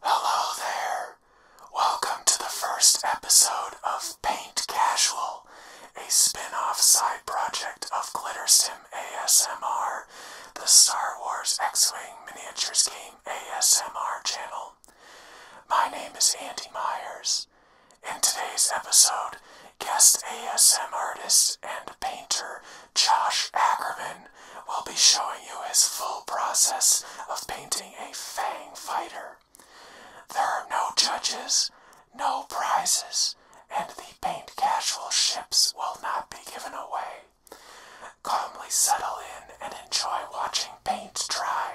Hello there! Welcome to the first episode of Paint Casual, a spin off side project of GlitterSim ASMR, the Star Wars X Wing Miniatures Game ASMR channel. My name is Andy Myers. In today's episode, guest ASMR artist and painter Josh Ackerman we will be showing you his full process of painting a Fang fighter. There are no judges, no prizes, and the paint casual ships will not be given away. Calmly settle in and enjoy watching paint dry.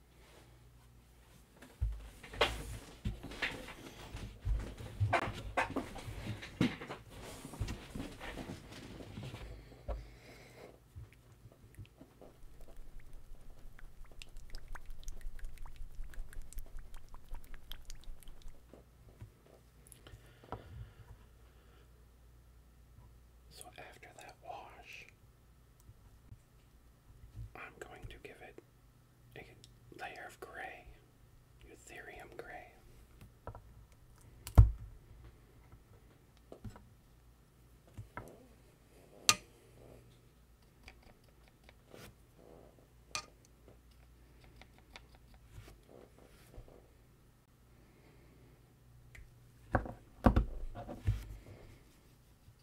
So after that wash, I'm going to give it a layer of gray, Eutherium gray.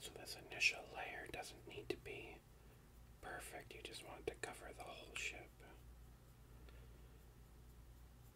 So, this initial layer doesn't need to be perfect, you just want it to cover the whole ship.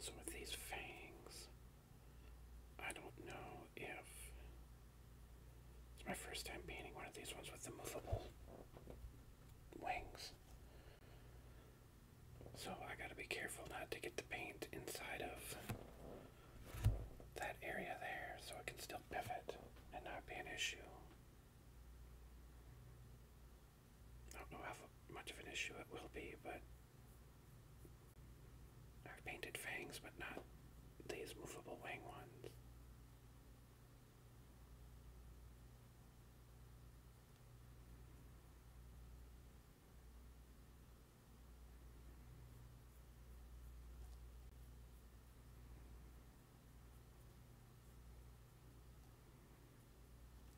So, with these fangs, I don't know if it's my first time painting one of these ones with the movable wings. So I gotta be careful not to get the paint inside of that area there so it can still pivot and not be an issue. I don't know how much of an issue it will be, but I've painted fangs, but not these movable wing ones.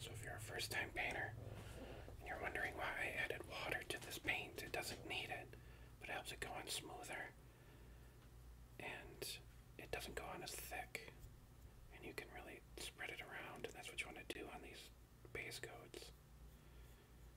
So, if you're a first time painter and you're wondering why I added water to this paint, it doesn't need it, but it helps it go on smoother and it doesn't go on as thick. And you can really spread it around, and that's what you want to do on these base coats.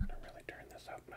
I'm gonna really turn this up now.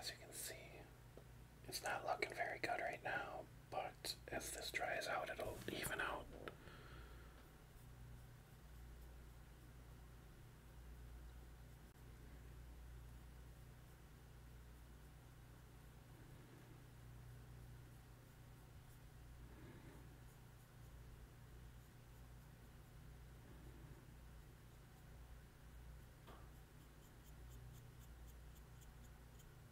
as you can see, it's not looking very good right now, but as this dries out, it'll even out.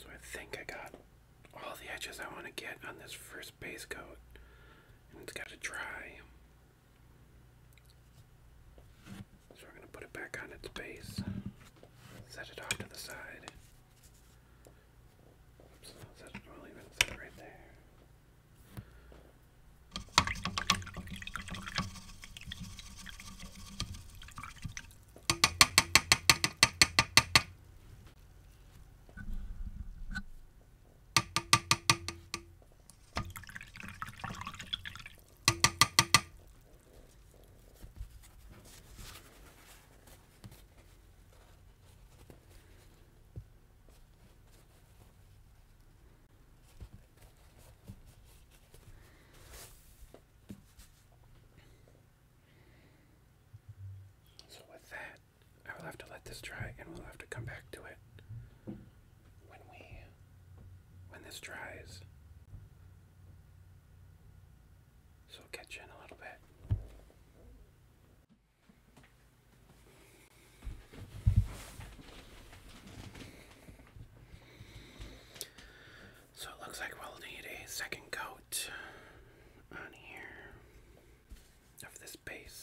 So I think I got all the edges I want to get on this first base coat it's got to dry. So we're going to put it back on its base, set it off to the side. Oops, right there. So, with that, I will have to let this dry and we'll have to come back to it when we when this dries. So catch in a little bit. So it looks like we'll need a second coat on here of this base.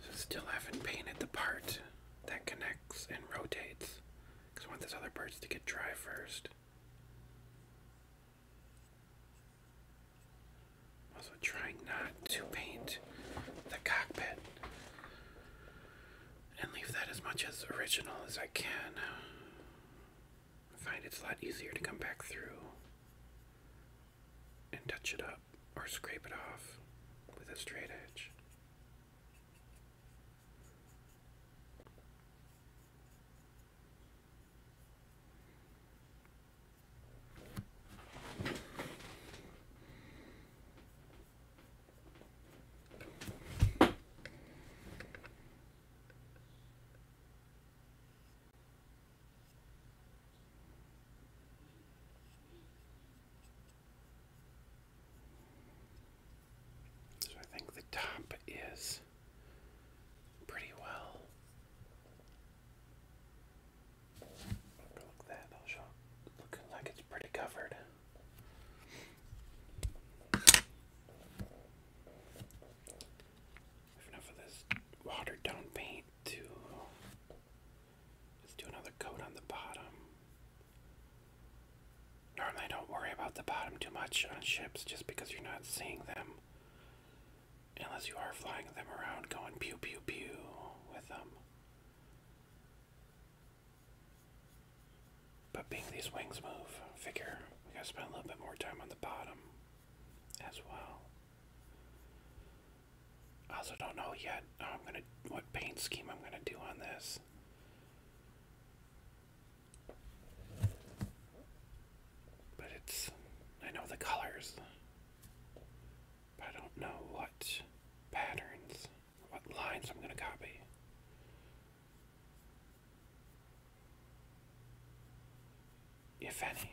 So still haven't painted the part that connects and rotates. Because I want those other parts to get dry first. Also trying not to paint the cockpit and leave that as much as original as I can. find it's a lot easier to come back through and touch it up or scrape it off with a straight edge. So I think the top is pretty well. Look at that, I'll show looking like it's pretty covered. Enough of this watered down paint to Let's do another coat on the bottom. Normally, don't worry about the bottom too much on ships just because you're not seeing them. Unless you are flying them around going pew pew pew with them. But being these wings move, figure we gotta spend a little bit more time on the bottom as well. I also don't know yet I'm gonna what paint scheme I'm gonna do on this. But it's I know the colors. But I don't know what patterns, what lines I'm gonna copy. If any.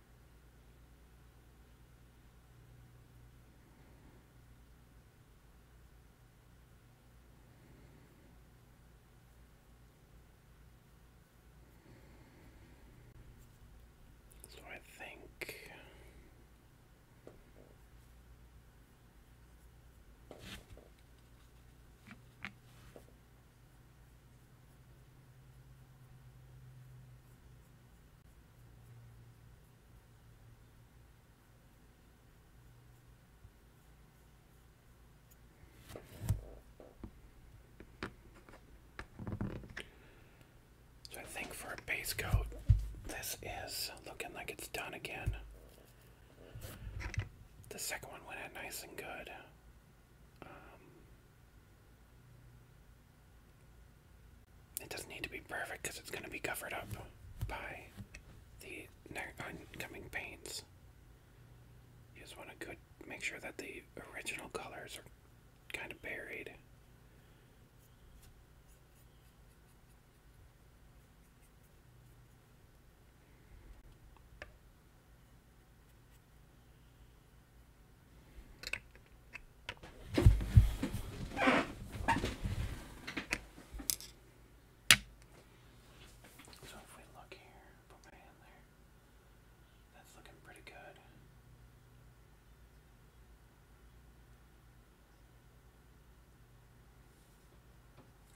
So I think so I think for a base coat, this is looking like it's done again. The second one went out nice and good. Um, it doesn't need to be perfect because it's going to be covered up by the oncoming paints. You just want to good make sure that the original colors are kind of buried. So if we look here, put my hand there. That's looking pretty good.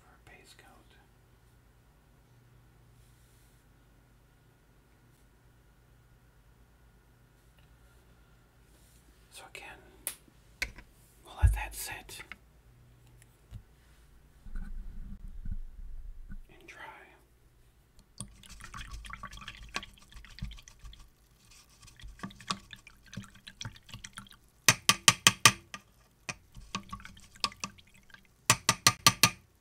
For a base coat. So again, we'll let that sit and dry.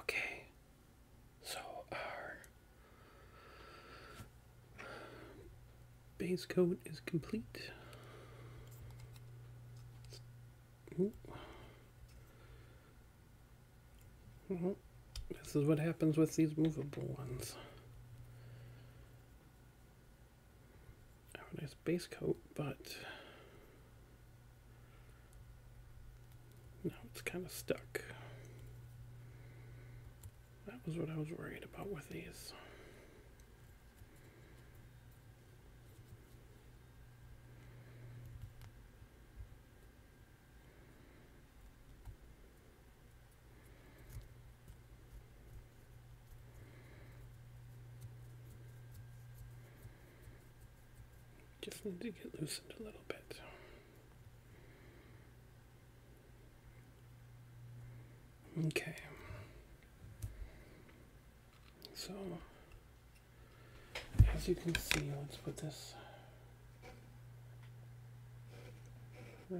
Okay, so our base coat is complete. Well, mm-hmm. this is what happens with these movable ones. have a nice base coat, but now it's kind of stuck. That was what I was worried about with these. Just need to get loosened a little bit. Okay. So, as you can see, let's put this right in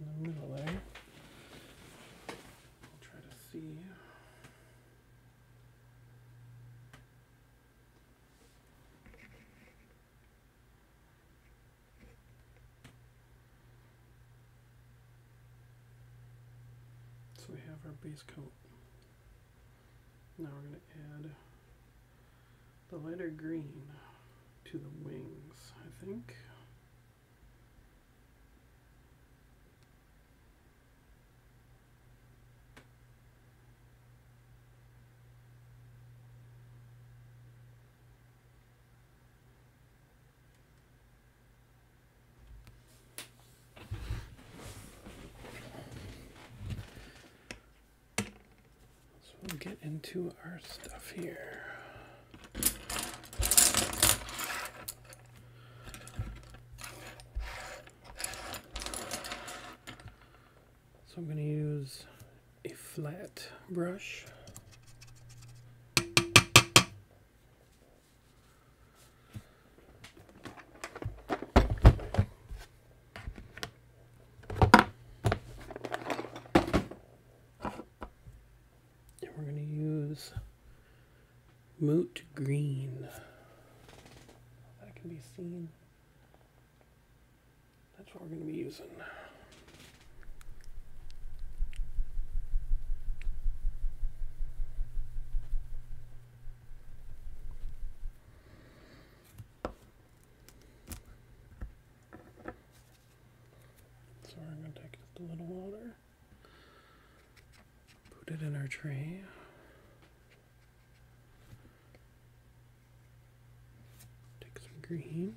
the middle there. I'll try to see. So we have our base coat. Now we're going to add the lighter green to the wings, I think. So we'll get into our stuff here. So I'm going to use a flat brush we're going to use moot green. That can be seen. That's what we're going to be using. So I'm going to take just a little water, put it in our tray. Take some green.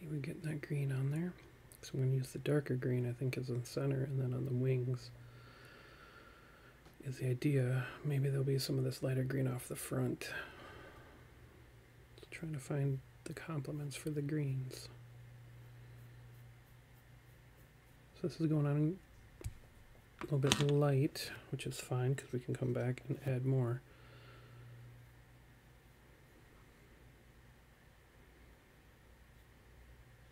See, we get that green on there. So I'm going to use the darker green, I think, as the center, and then on the wings, is the idea. Maybe there'll be some of this lighter green off the front. trying to find the complements for the greens. So this is going on a little bit light, which is fine because we can come back and add more.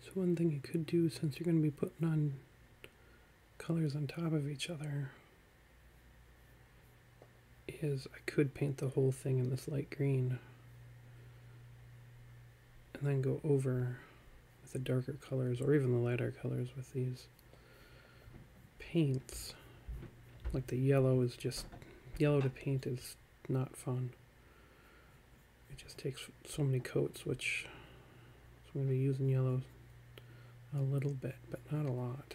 So one thing you could do since you're going to be putting on colors on top of each other is I could paint the whole thing in this light green and then go over with the darker colors or even the lighter colors with these paints like the yellow is just yellow to paint is not fun it just takes so many coats, which I'm going to be using yellow a little bit, but not a lot.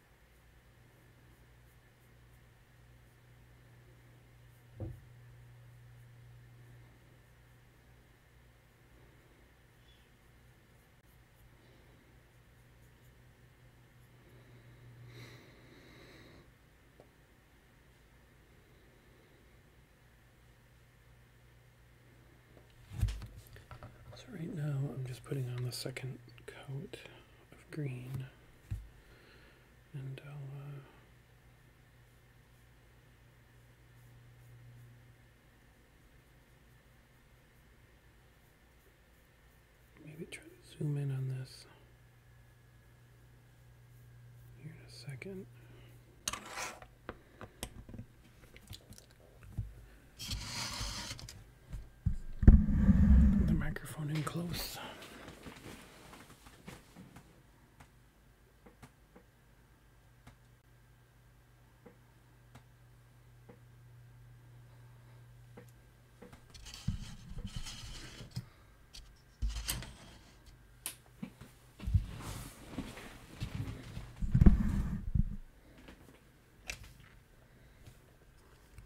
So right now I'm just putting on the second coat of green and I'll uh, maybe try to zoom in on this here in a second. Put the microphone in close.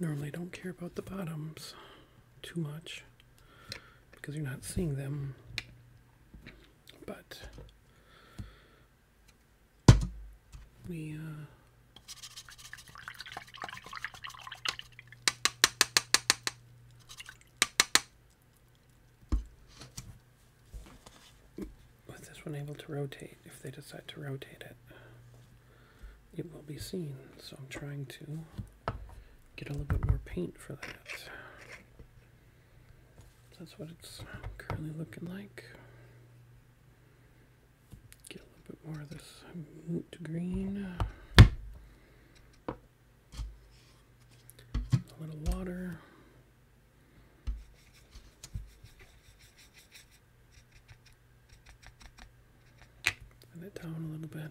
Normally don't care about the bottoms too much because you're not seeing them, but we, with uh, this one able to rotate, if they decide to rotate it, it will be seen. So I'm trying to get a little bit more paint for that. that's what it's currently looking like. Get a little bit more of this moot green. A little water. Thin it down a little bit.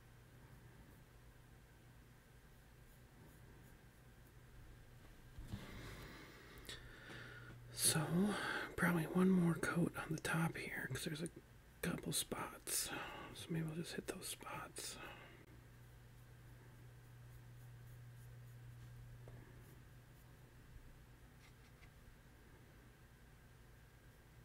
So, probably one more coat on the top here because there's a couple spots. So, maybe we'll just hit those spots.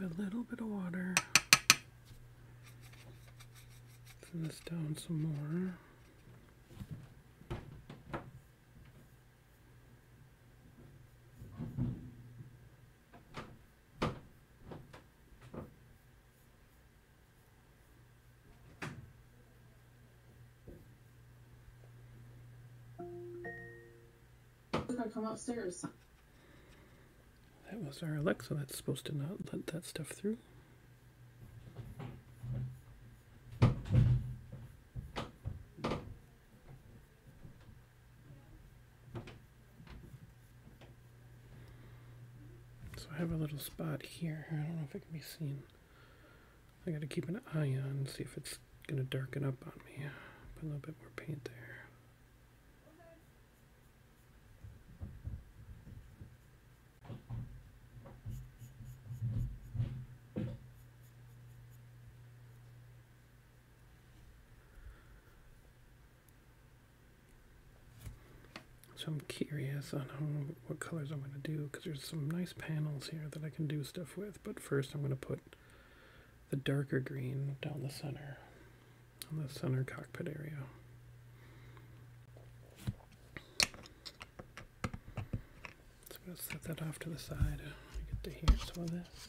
Give a little bit of water. Thin this down some more. I come upstairs. That was our Alexa that's supposed to not let that stuff through. So I have a little spot here. I don't know if it can be seen. I gotta keep an eye on, see if it's gonna darken up on me. Put a little bit more paint there. So I'm curious on how, what colors I'm going to do because there's some nice panels here that I can do stuff with. But first I'm going to put the darker green down the center, on the center cockpit area. So I'm going to set that off to the side. I get to hear some of this.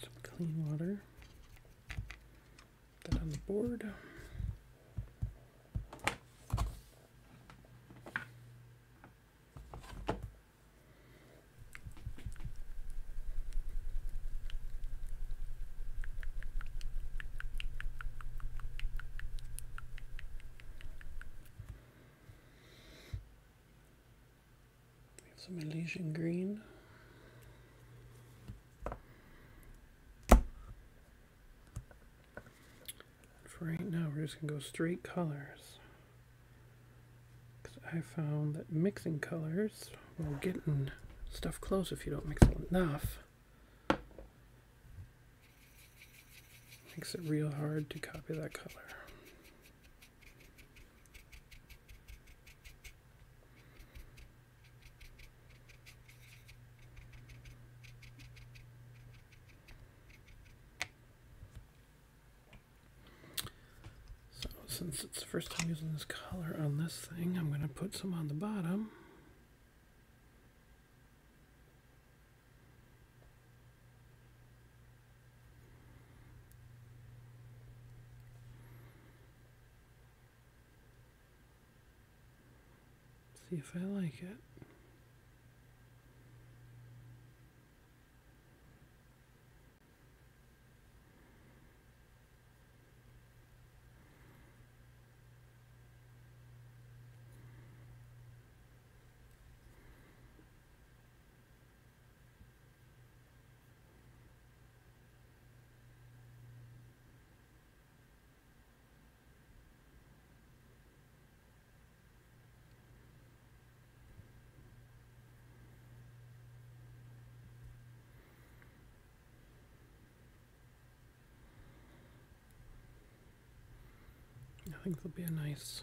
Some clean water. Put that on the board. We have some Elysian green. for right now, we're just going to go straight colors. Because I found that mixing colors while getting stuff close if you don't mix it enough makes it real hard to copy that color. So since it's the first time using this color on this thing, I'm going to put some on the bottom. See if I like it. I think there'll be a nice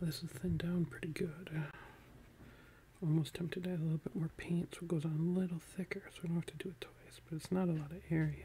So this is thinned down pretty good. almost tempted to add a little bit more paint so it goes on a little thicker so we don't have to do it twice, but it's not a lot of area.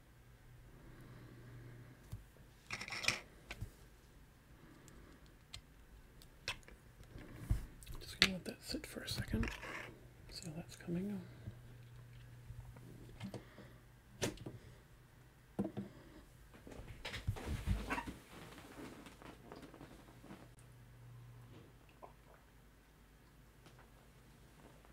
Just gonna let that sit for a second. See how that's coming.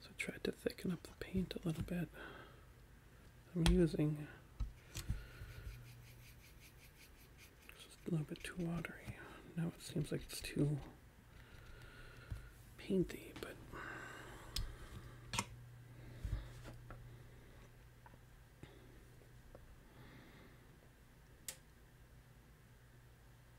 So I tried to thicken up the paint a little bit. I'm using a little bit too watery. Now it seems like it's too painty, but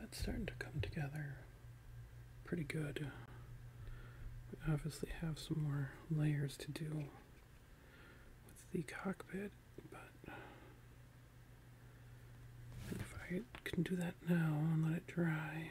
that's starting to come together pretty good. We obviously have some more layers to do with the cockpit but if I can do that now and let it dry.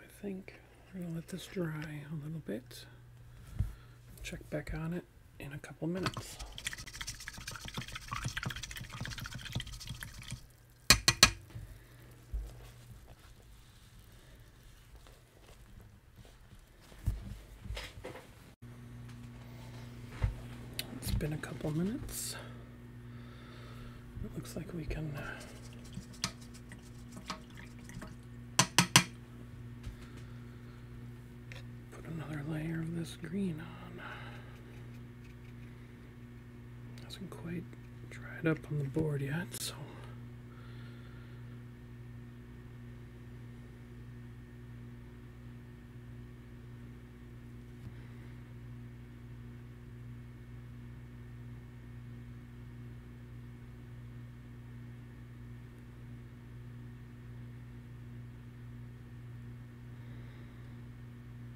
I think we're going to let this dry a little bit. Check back on it in a couple minutes. It's been a couple minutes. It looks like we can uh, put another layer of this green on. Hasn't quite dried up on the board yet, so.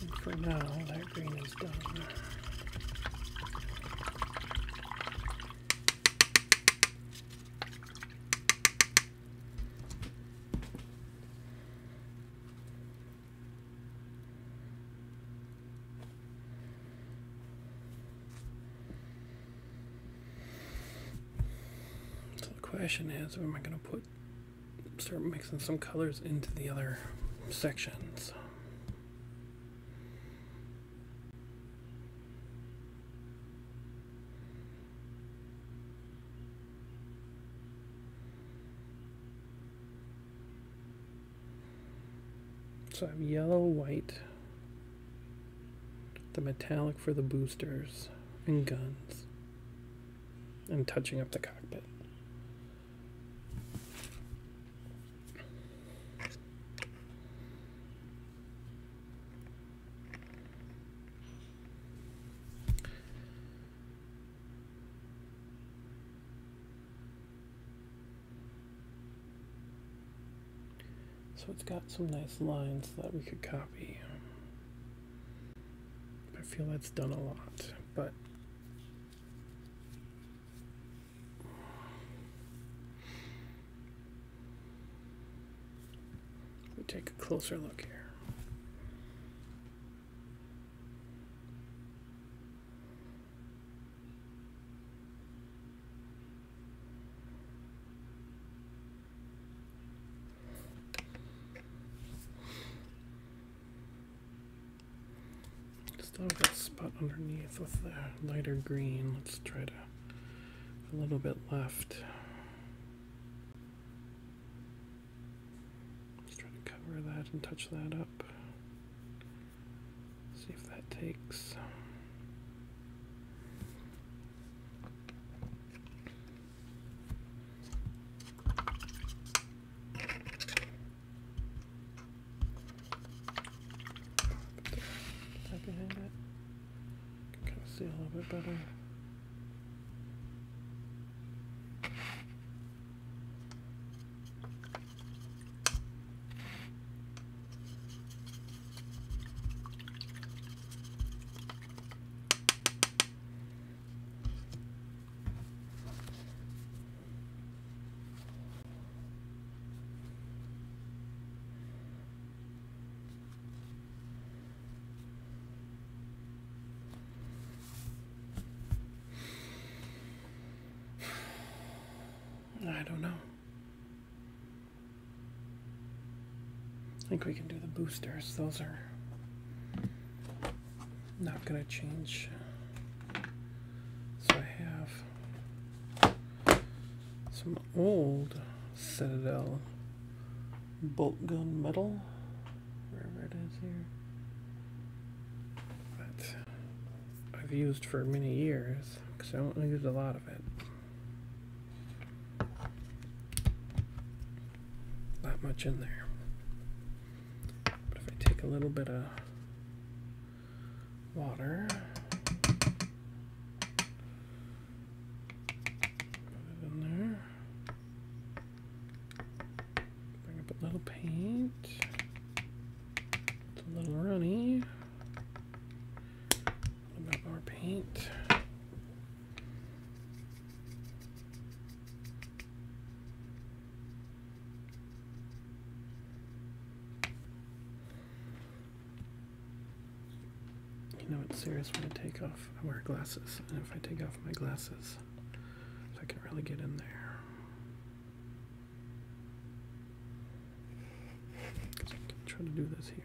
And for now, that green is done. So the question is, where am I going to put start mixing some colors into the other sections. So I have yellow, white, the metallic for the boosters and guns and touching up the cockpit. So it's got some nice lines that we could copy. I feel that's done a lot, but let me take a closer look here. Still have that spot underneath with the lighter green. Let's try to a little bit left. Let's try to cover that and touch that up. See if that takes. Back behind it. Can kind of see a little bit better. I don't know. I think we can do the boosters. Those are not going to change. So I have some old Citadel bolt gun metal, wherever it is here, that I've used for many years because I don't use a lot of it. That much in there. But if I take a little bit of water, put it in there, bring up a little paint, a little runny, a little bit more paint. You know it's serious when I take off I wear glasses and if I take off my glasses so I can really get in there. I can try to do this here.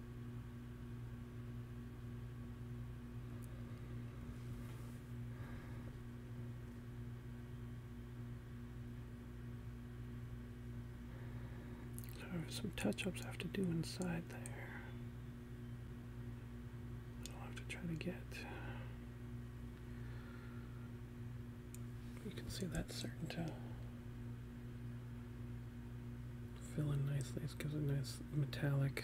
There some touch-ups I have to do inside there. I'll have to try to get. You can see that certain to fill in nicely. This gives a nice metallic.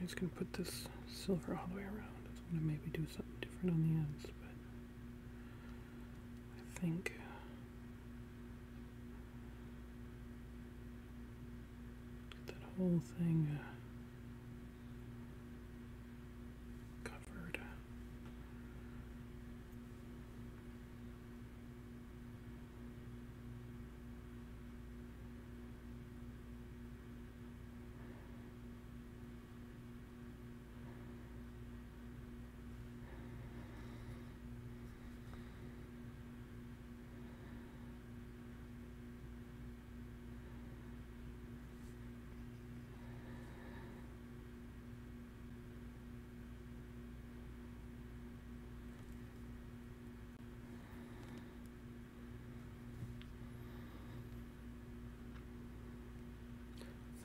I'm just gonna put this silver all the way around. I'm gonna maybe do something different on the ends, but I think that whole thing uh, covered.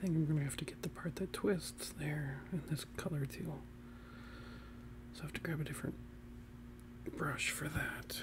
I think I'm going to have to get the part that twists there in this color too. So I have to grab a different brush for that.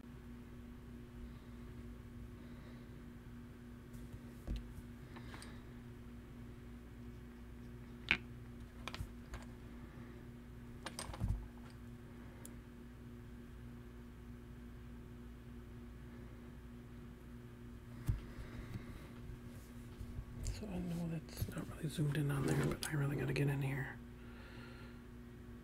So I know that's not really zoomed in on there, but I really gotta get in here.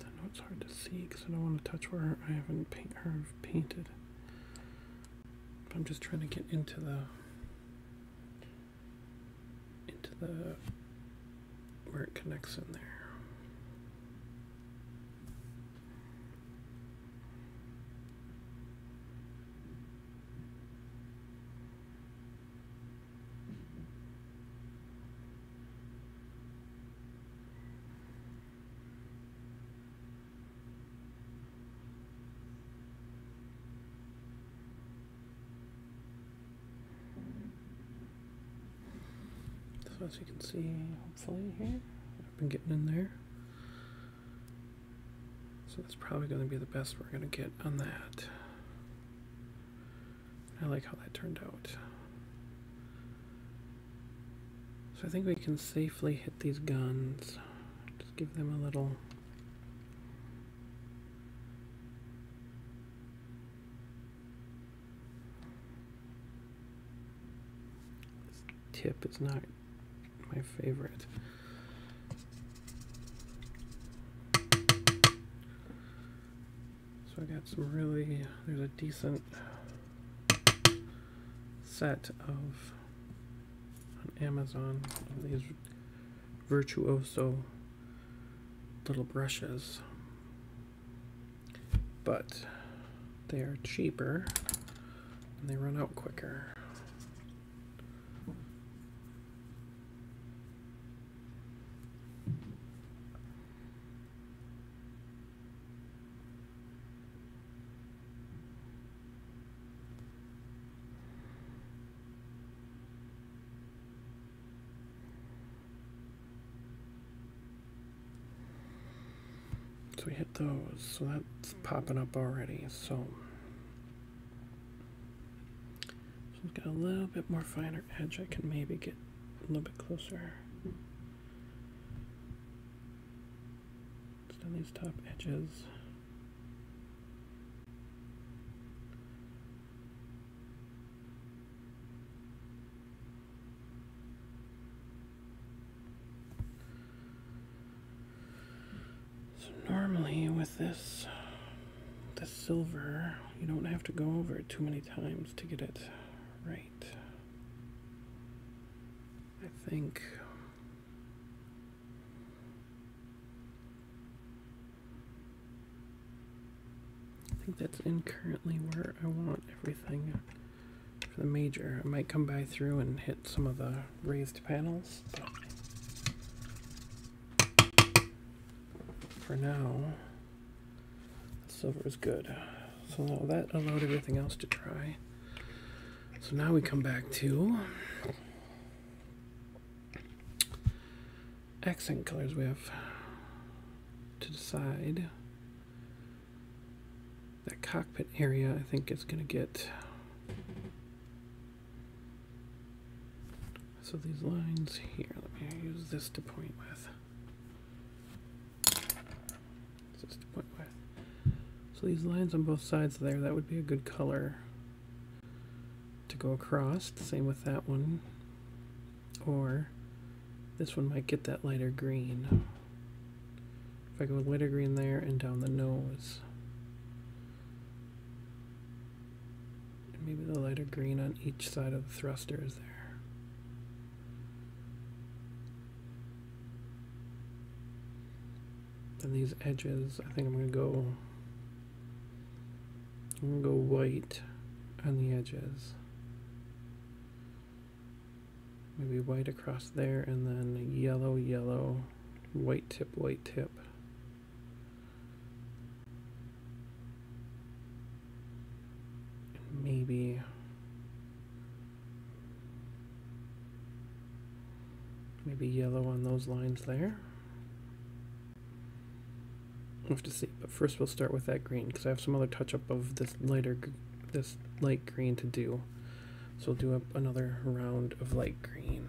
I know it's hard to see because I don't want to touch where I haven't paint her painted. I'm just trying to get into the into the where it connects in there. So as you can see, hopefully here, I've been getting in there. So that's probably going to be the best we're going to get on that. I like how that turned out. So I think we can safely hit these guns. Just give them a little... This tip is not my favorite. So I got some really, there's a decent set of Amazon these virtuoso little brushes, but they are cheaper and they run out quicker. So we hit those, so that's popping up already. So, so I've got a little bit more finer edge. I can maybe get a little bit closer. Just on these top edges. So normally with this the silver you don't have to go over it too many times to get it right. I think I think that's in currently where I want everything for the major. I might come by through and hit some of the raised panels, but for now, silver is good. So that allowed everything else to dry. So now we come back to accent colors we have to decide. That cockpit area I think it's going to get so these lines here let me use this to point with this to point with so these lines on both sides there that would be a good color to go across The same with that one or this one might get that lighter green. If I go lighter green there and down the nose. maybe the lighter green on each side of the thruster is there. And these edges, I think I'm going to go I'm gonna go white on the edges. Maybe white across there and then yellow, yellow, white tip, white tip. maybe maybe yellow on those lines there. We'll have to see, but first we'll start with that green because I have some other touch up of this lighter, this light green to do. So we'll do up another round of light green.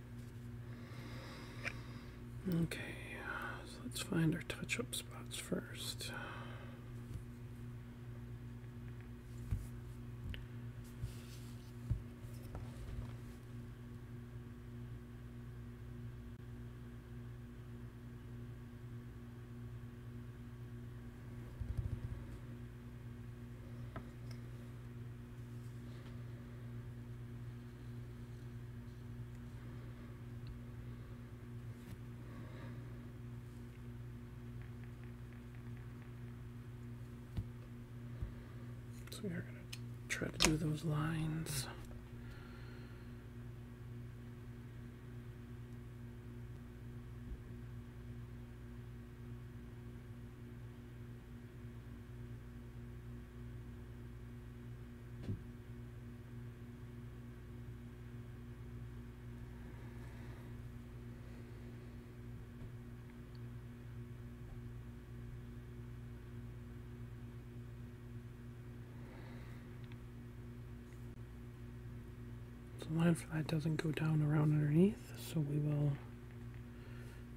Okay, let's find our touch up spots first. So we're going to try to do those lines the line for that doesn't go down around underneath, so we will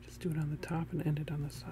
just do it on the top and end it on the side.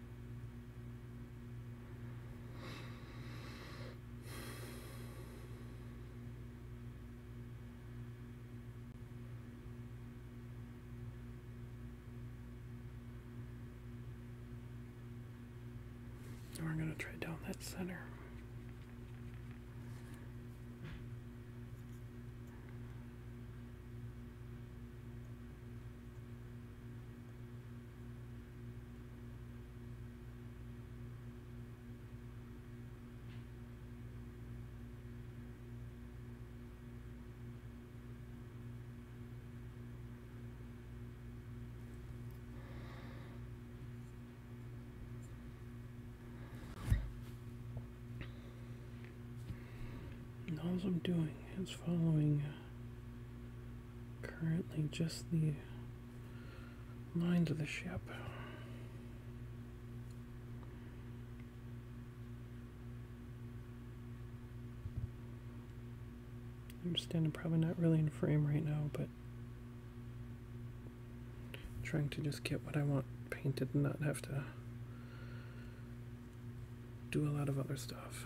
we're going to try down that center. And all I'm doing is following uh, currently just the lines of the ship. I am standing, probably not really in frame right now, but trying to just get what I want painted and not have to do a lot of other stuff.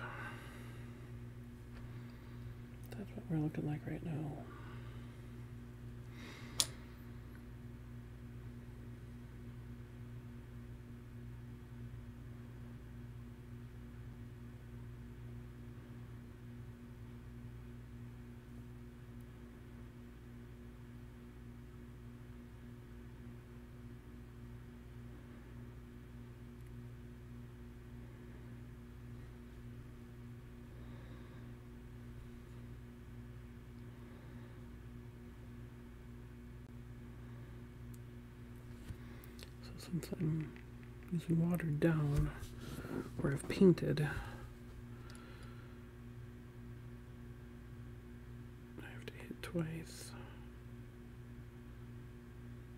That's what we're looking like right now. So since I'm using watered down or have painted. I have to hit twice.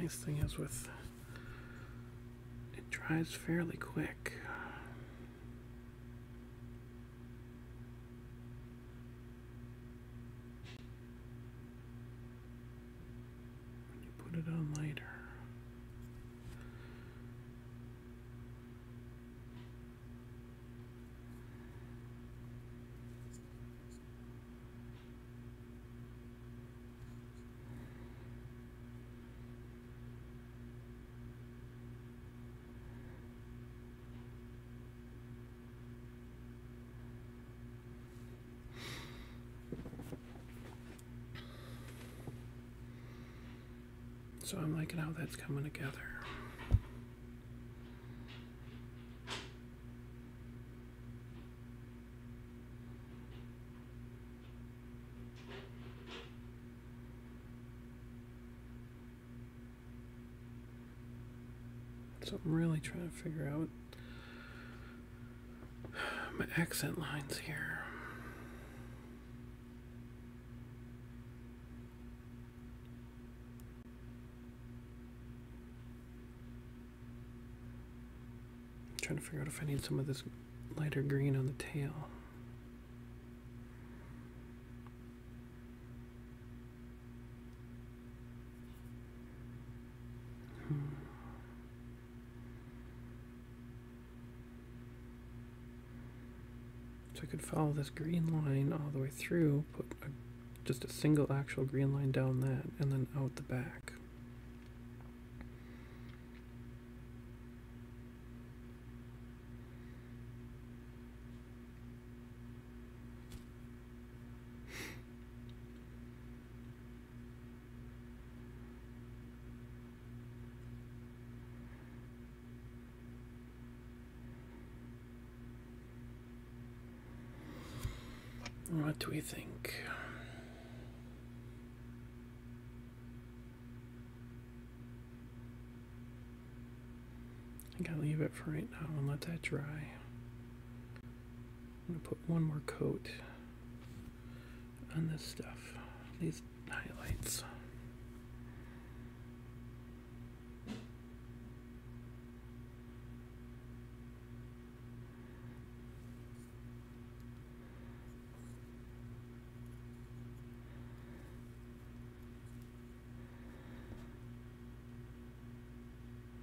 Nice thing is with it dries fairly quick you put it on later. So I'm liking how that's coming together. So I'm really trying to figure out my accent lines here. I'm trying to figure out if I need some of this lighter green on the tail. So I could follow this green line all the way through, put just a single actual green line down that, and then out the back. What do we think? I gotta leave it for right now and let that dry. I'm going to put one more coat on this stuff, these highlights.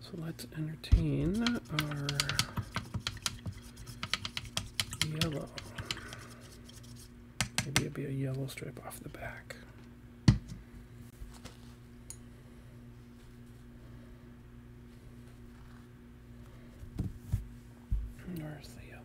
So let's entertain our yellow. Maybe it'd be a yellow stripe off the back. Where's the yellow?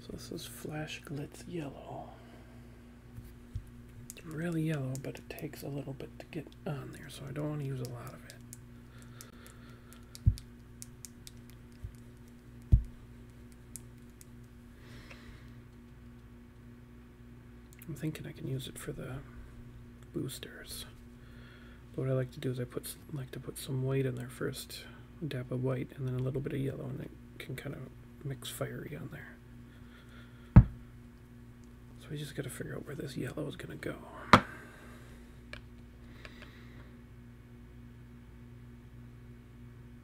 So this is Flash Glitz Yellow. It's really yellow, but it takes a little bit to get on there, so I don't want to use a lot of it. I'm thinking I can use it for the boosters. But what I like to do is I put like to put some white in there first, dab of white, and then a little bit of yellow, and it can kind of mix fiery on there. So we just got to figure out where this yellow is going to go.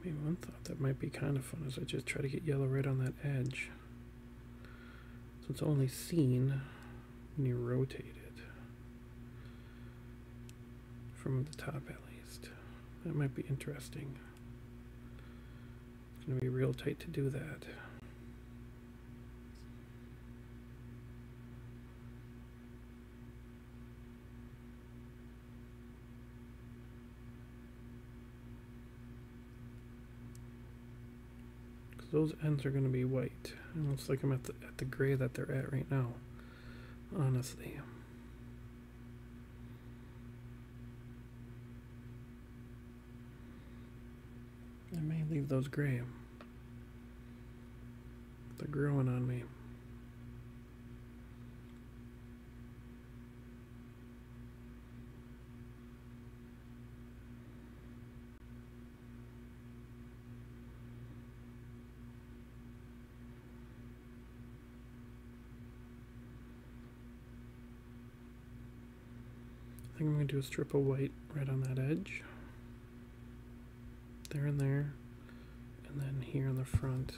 I mean, one thought that might be kind of fun is I just try to get yellow right on that edge. So it's only seen when you rotate it. From the top at least. That might be interesting. It's going to be real tight to do that. those ends are going to be white. It looks like I'm at the, at the gray that they're at right now, honestly. I may leave those gray. They're growing on me. I think I'm going to do a strip of white right on that edge. There and there. And then here in the front.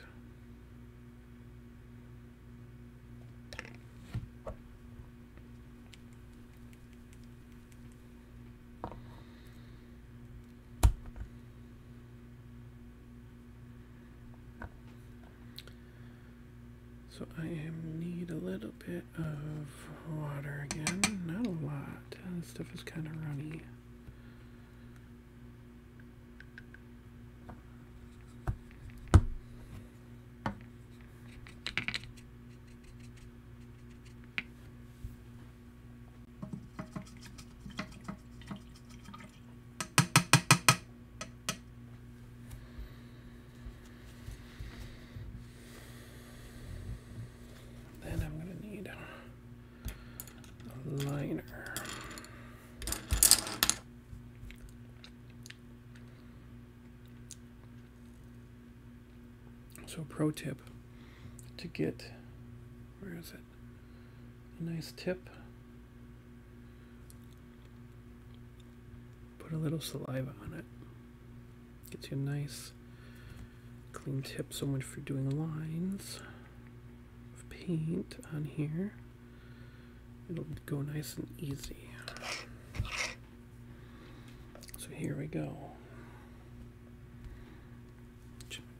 So I need a little bit of water again. Not a lot. This stuff is kind of runny. Then I'm going to need a liner. So pro tip to get, where is it? A nice tip Put a little saliva on it. Gets you a nice clean tip. So much for doing lines of paint on here. It'll go nice and easy. So here we go.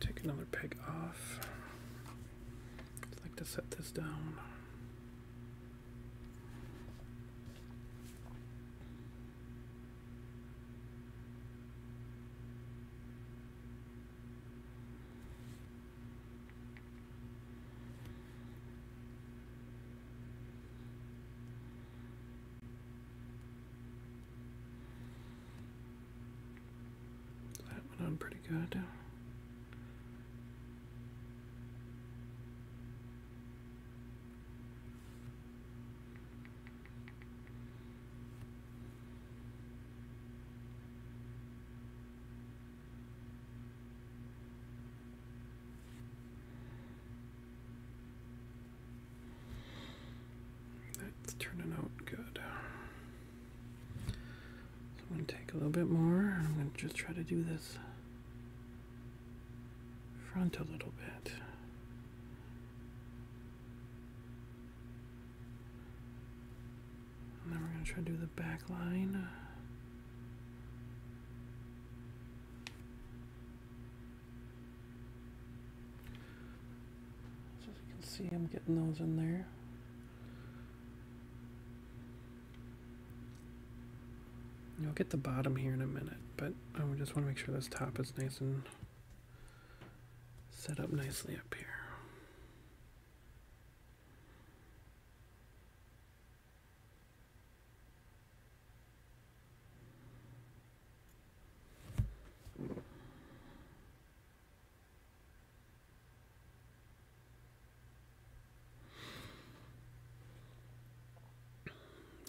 take another peg off. I'd like to set this down. That went on pretty good. That's turning out good. I'm going to take a little bit more. I'm going to just try to do this front a little bit. And then we're going to try to do the back line. So as you can see, I'm getting those in there. You'll get the bottom here in a minute, but I just want to make sure this top is nice and set up nicely up here.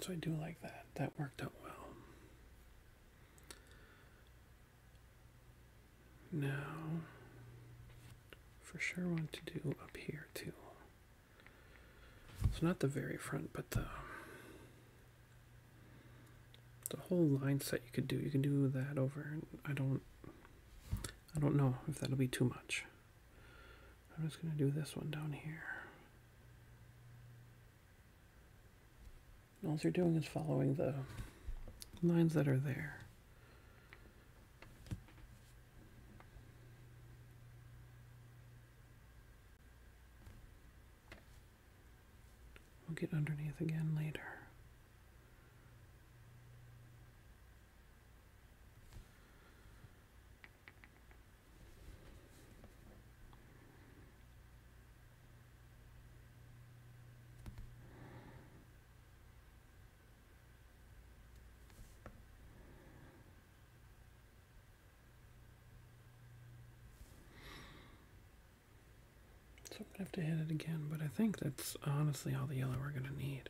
So I do like that. That worked out well. Now, for sure, want to do up here too. It's not the very front, but the the whole line set you could do. You can do that over. I don't. I don't know if that'll be too much. I'm just going to do this one down here. all you're doing is following the lines that are there. We'll get underneath again later. So I'm gonna have to hit it again, but I think that's honestly all the yellow we're gonna need.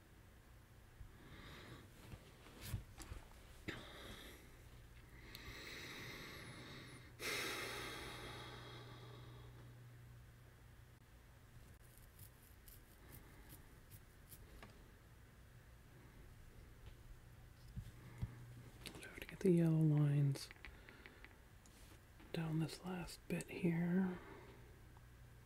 I have to get the yellow lines down this last bit here.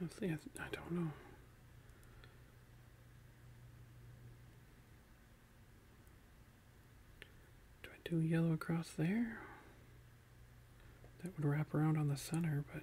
Honestly, I, I don't know. Do I do yellow across there? That would wrap around on the center, but.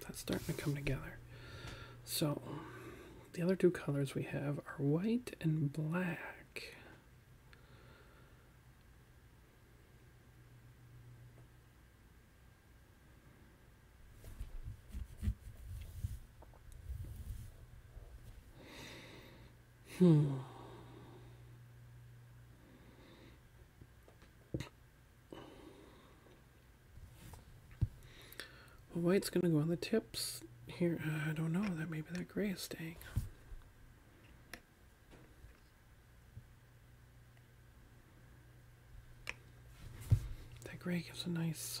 That's starting to come together. So the other two colors we have are white and black. Hmm white's going to go on the tips here. Uh, I don't know. That maybe that gray is staying. That gray gives a nice.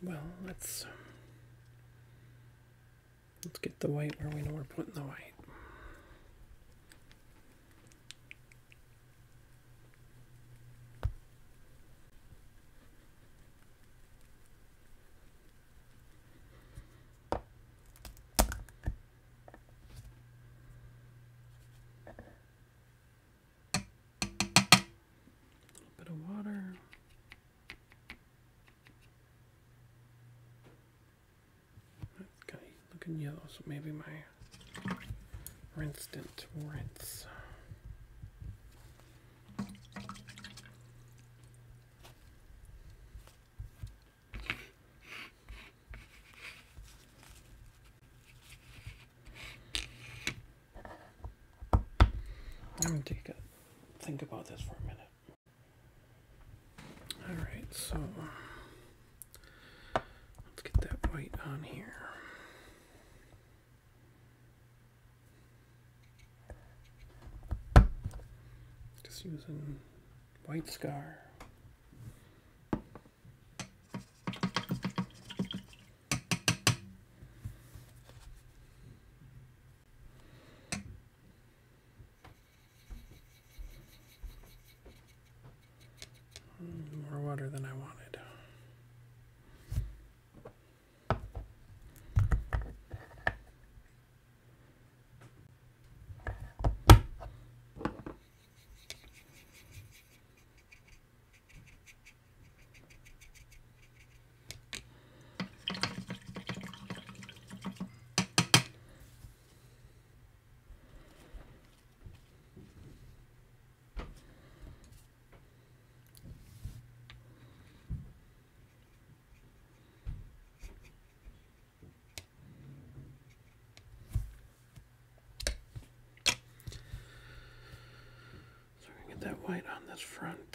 Well, let's let's get the white where we know we're putting the white. A little bit of water. Okay, looking yellow, so maybe my rinsed it. not rinse. i take a think about this for a minute. All right, so Let's get that white on here. Just using white scar. More water than I wanted. So we're going to get that white on this front.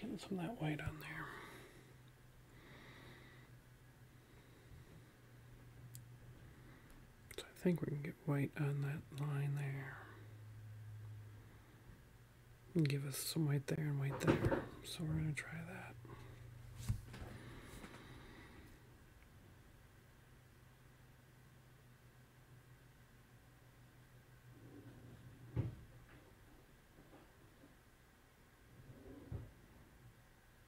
Getting some of that white on there. So I think we can get white on that line there. And give us some white there and white there. So we're going to try that.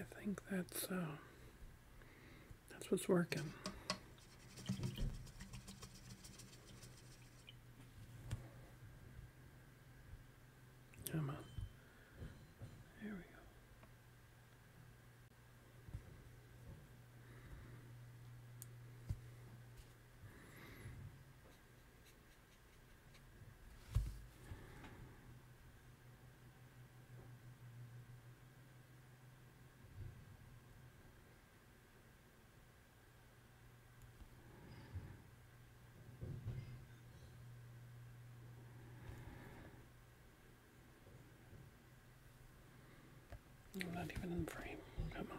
I think that's uh, that's what's working. Come There we go. I'm not even in the frame. Come on.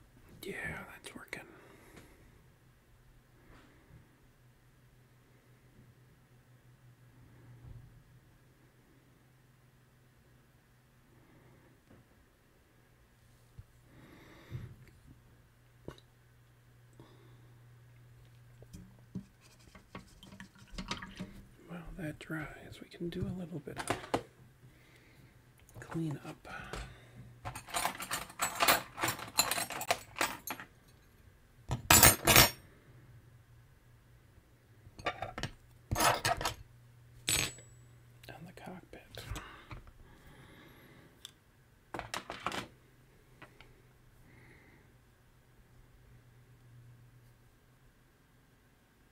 Yeah, that's working. Well, that dries. We can do a little bit clean up. On the cockpit.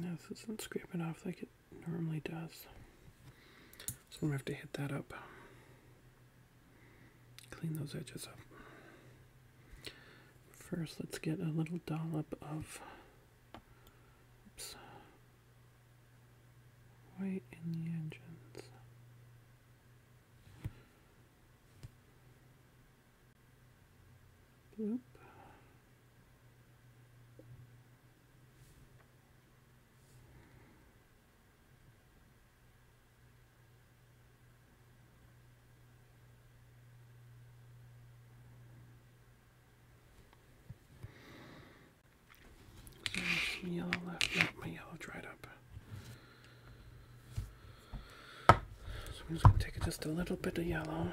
No, this isn't scraping off like it normally does. So I'm gonna have to hit that up. Clean those edges up. First, let's get a little dollop of white in the engines. Bloop. my yellow dried up. So I'm just going to take just a little bit of yellow.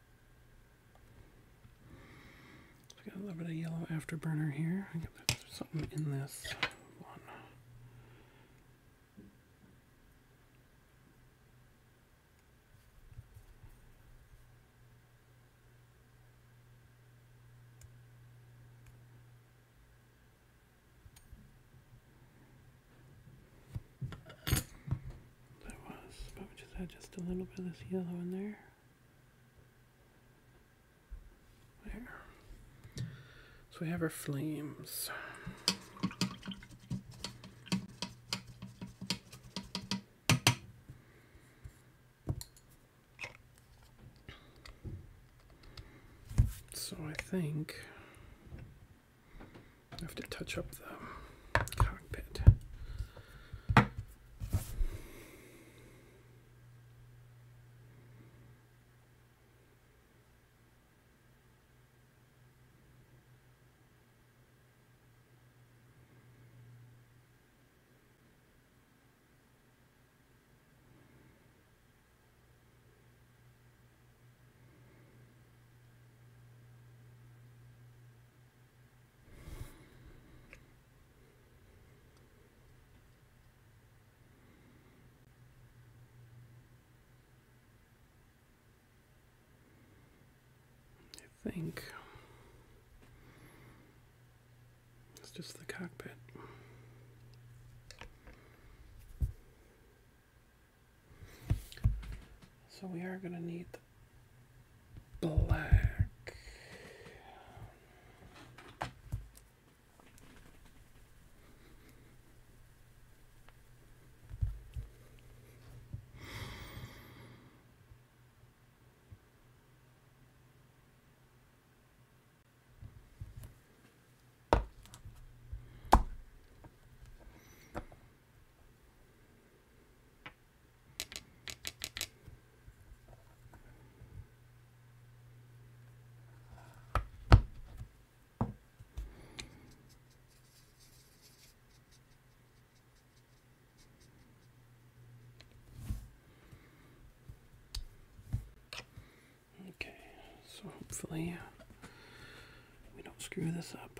So got a little bit of yellow afterburner here. something in this one. That was, but we just had just a little bit of yellow in there. There. So we have our flames. So I think I have to touch up the cockpit. I think it's just the cockpit. So we are going to need black. Okay, so hopefully uh, we don't screw this up.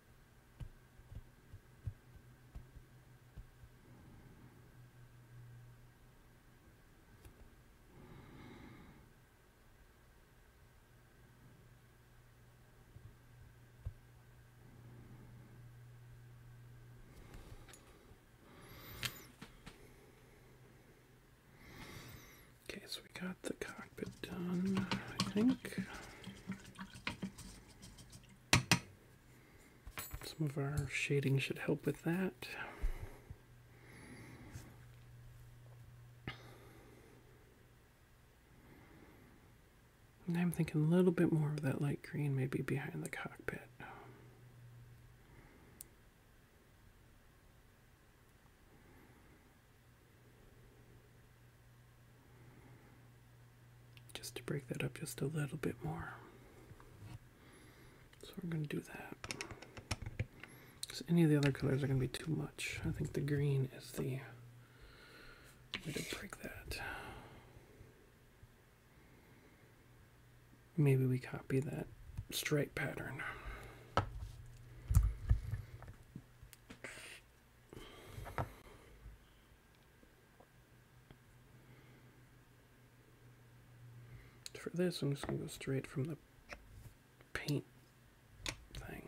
Okay, so we got the cockpit done, I think. Some of our shading should help with that. I'm thinking a little bit more of that light green maybe behind the cockpit. Just to break that up just a little bit more. So we're going to do that. Because any of the other colors are going to be too much. I think the green is the way to break that. Maybe we copy that stripe pattern. For this, I'm just going to go straight from the paint thing.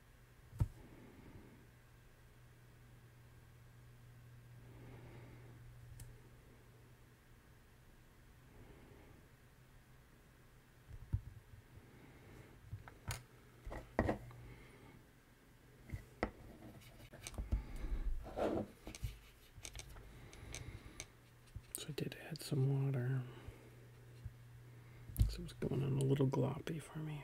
So I did add some water. So it was going on a little gloppy for me.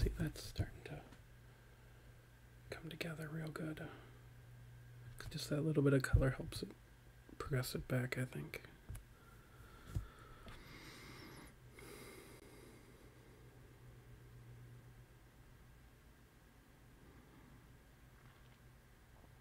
See, that's starting to come together real good. Just that little bit of color helps it progress it back, I think.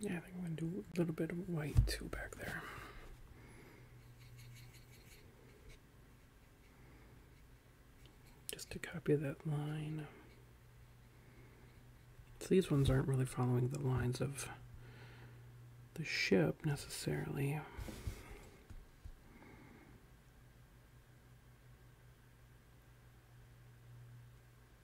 Yeah, I think I'm gonna do a little bit of white too back there. Just to copy that line. So these ones aren't really following the lines of the ship necessarily.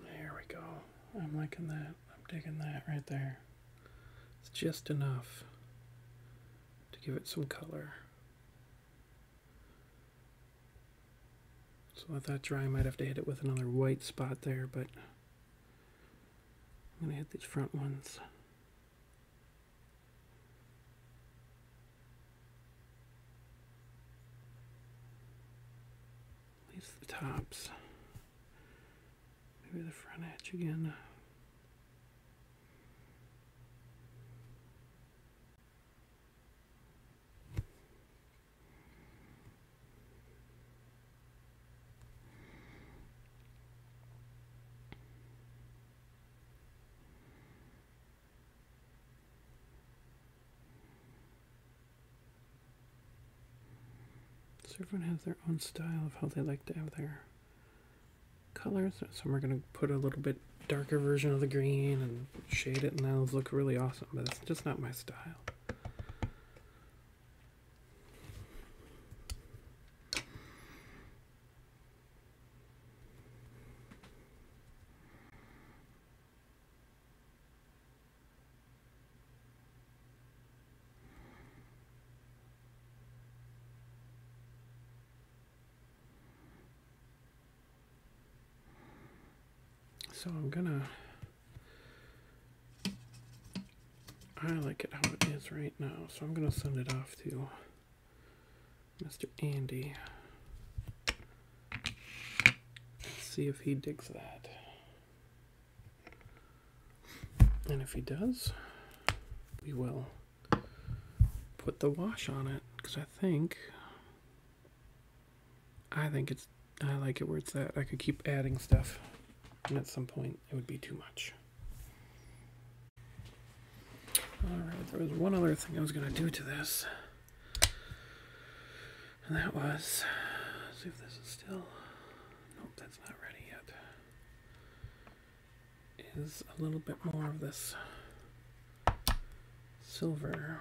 There we go. I'm liking that. I'm digging that right there. It's just enough to give it some color. So I thought dry might have to hit it with another white spot there, but I'm going to hit these front ones. These the tops. Maybe the front edge again. So everyone has their own style of how they like to have their colors. Some are going to put a little bit darker version of the green and shade it, and that'll look really awesome, but it's just not my style. So I'm gonna, I like it how it is right now. So I'm gonna send it off to Mr. Andy. see if he digs that. And if he does, we will put the wash on it because I think I think it's I like it where it's at. I could keep adding stuff and at some point it would be too much. Alright, there was one other thing I was gonna do to this. And that was. see if this is still. Nope, that's not ready yet. Is a little bit more of this silver.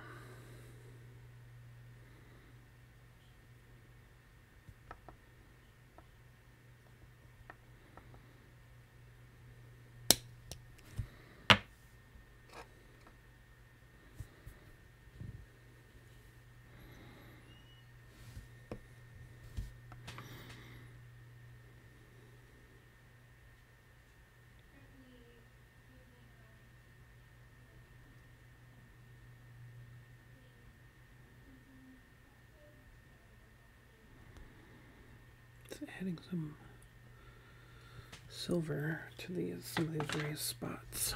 It's adding some silver to these some of these raised spots.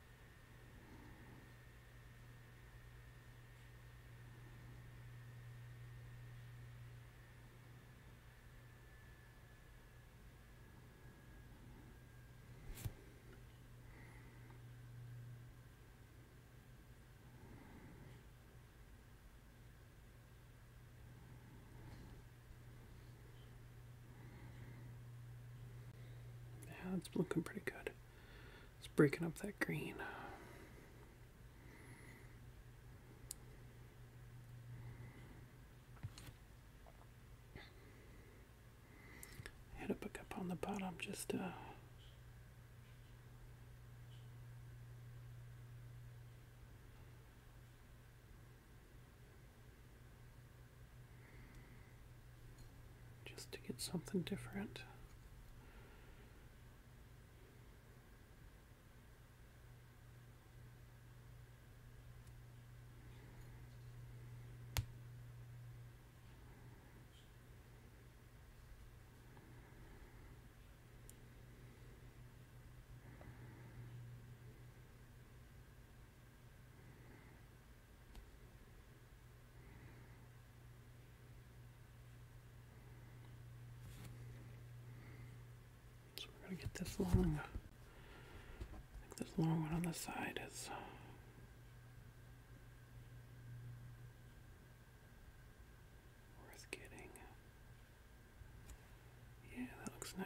Yeah, it's looking pretty good. It's breaking up that green. Hit a pick on the bottom just just to get something different. So we're going to get this long. this long one on the side is. Worth getting. Yeah, that looks nice.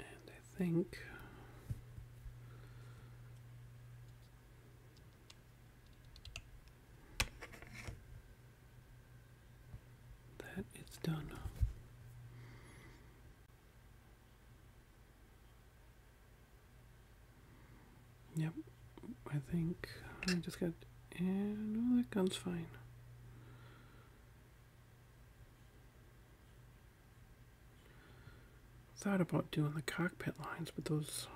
And I think that it's done. Yep, I think I just got. And all oh, that gun's fine. Thought about doing the cockpit lines, but those.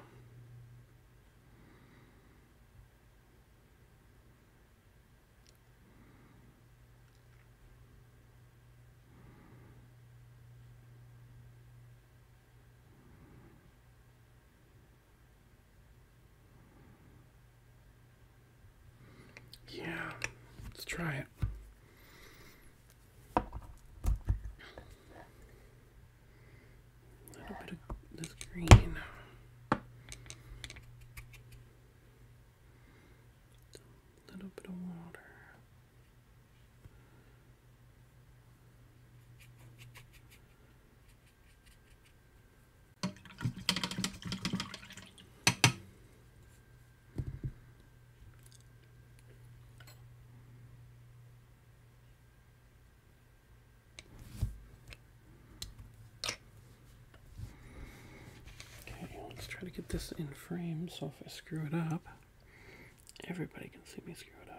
Yeah, let's try it. A little bit of this green. A little bit of water. Okay, let's try to get this in frame so if I screw it up, everybody can see me screw it up.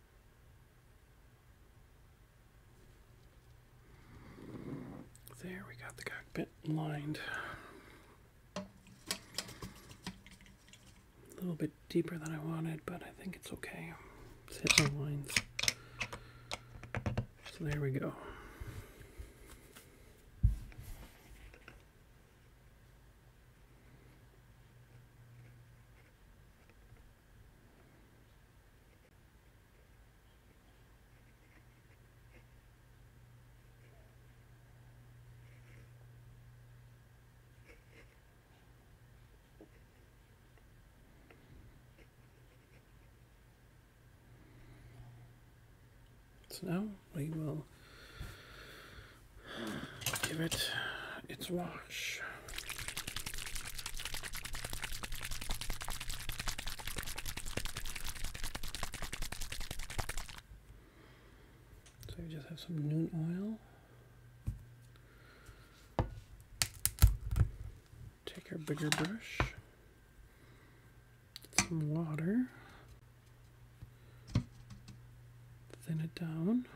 There we got the cockpit lined. A little bit deeper than I wanted, but I think it's okay. It's us hit my lines. So there we go. So now we will give it its wash. So you just have some noon oil. Take our bigger brush, some water, thin it down.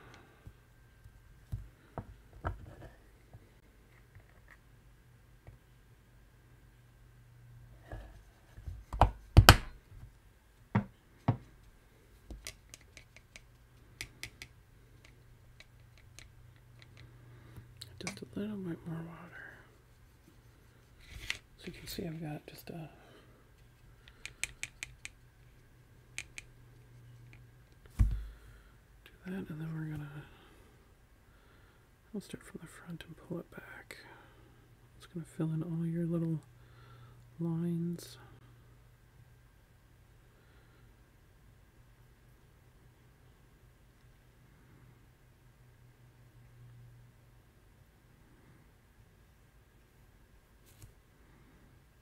Just a little bit more water. So you can see I've got just a do that, and then we're gonna. Let's start from the front and pull it back. It's gonna fill in all your little lines.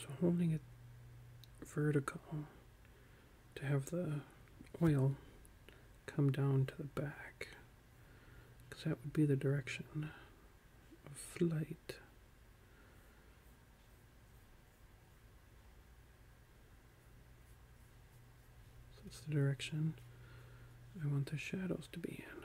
So holding it vertical to have the oil come down to the back because that would be the direction of flight. So that's the direction I want the shadows to be in.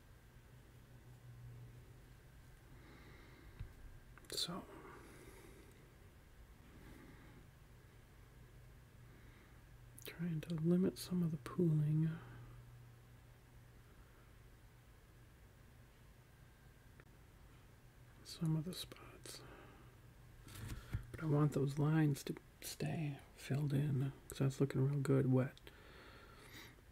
So. Trying to limit some of the pooling. Some of the spots. But I want those lines to stay filled in because that's looking real good wet.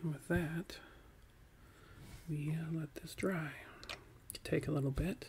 And with that, we uh, let this dry. Take a little bit.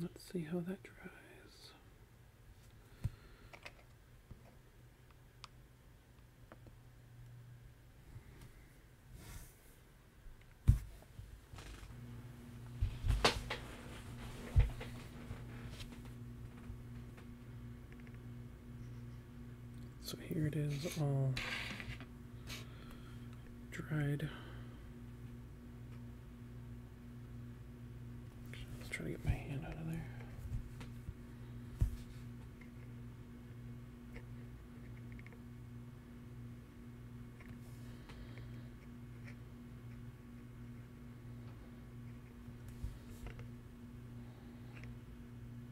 Let's see how that dries. So here it is all dried. Let's try to get my hand out of there.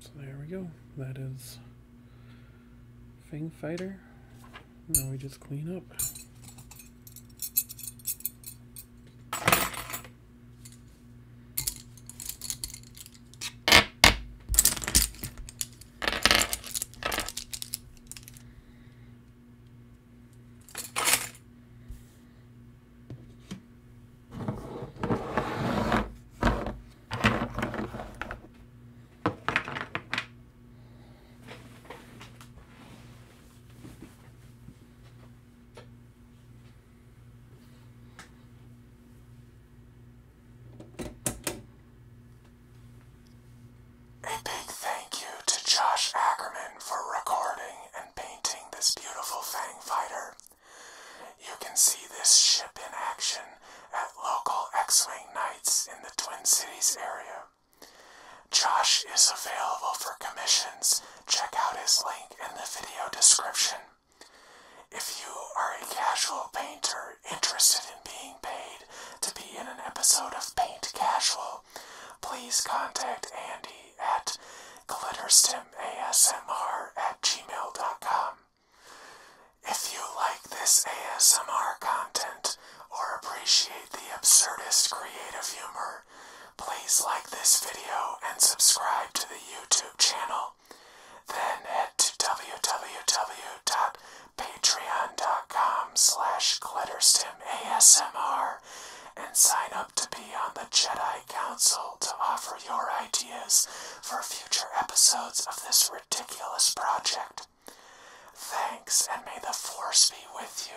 So there we go. That is Fang Fighter. Now we just clean up. A big thank you to Josh Ackerman for recording and painting this beautiful Fang fighter. You can see this ship in action at local X-Wing nights in the Twin Cities area. Josh is available for commissions. Check out his link in the video description. If you are a casual painter interested in being paid to be in an episode of Paint Casual, please contact Andy at glitterstimasmr at gmail.com. If you like this ASMR content or appreciate the absurdist creative humor, please like this video and subscribe to the YouTube channel. Then head to www.patreon.com slash glitterstimasmr and sign up to be on the Jedi Council to offer your ideas for future episodes of this ridiculous project. Thanks, and may the Force be with you.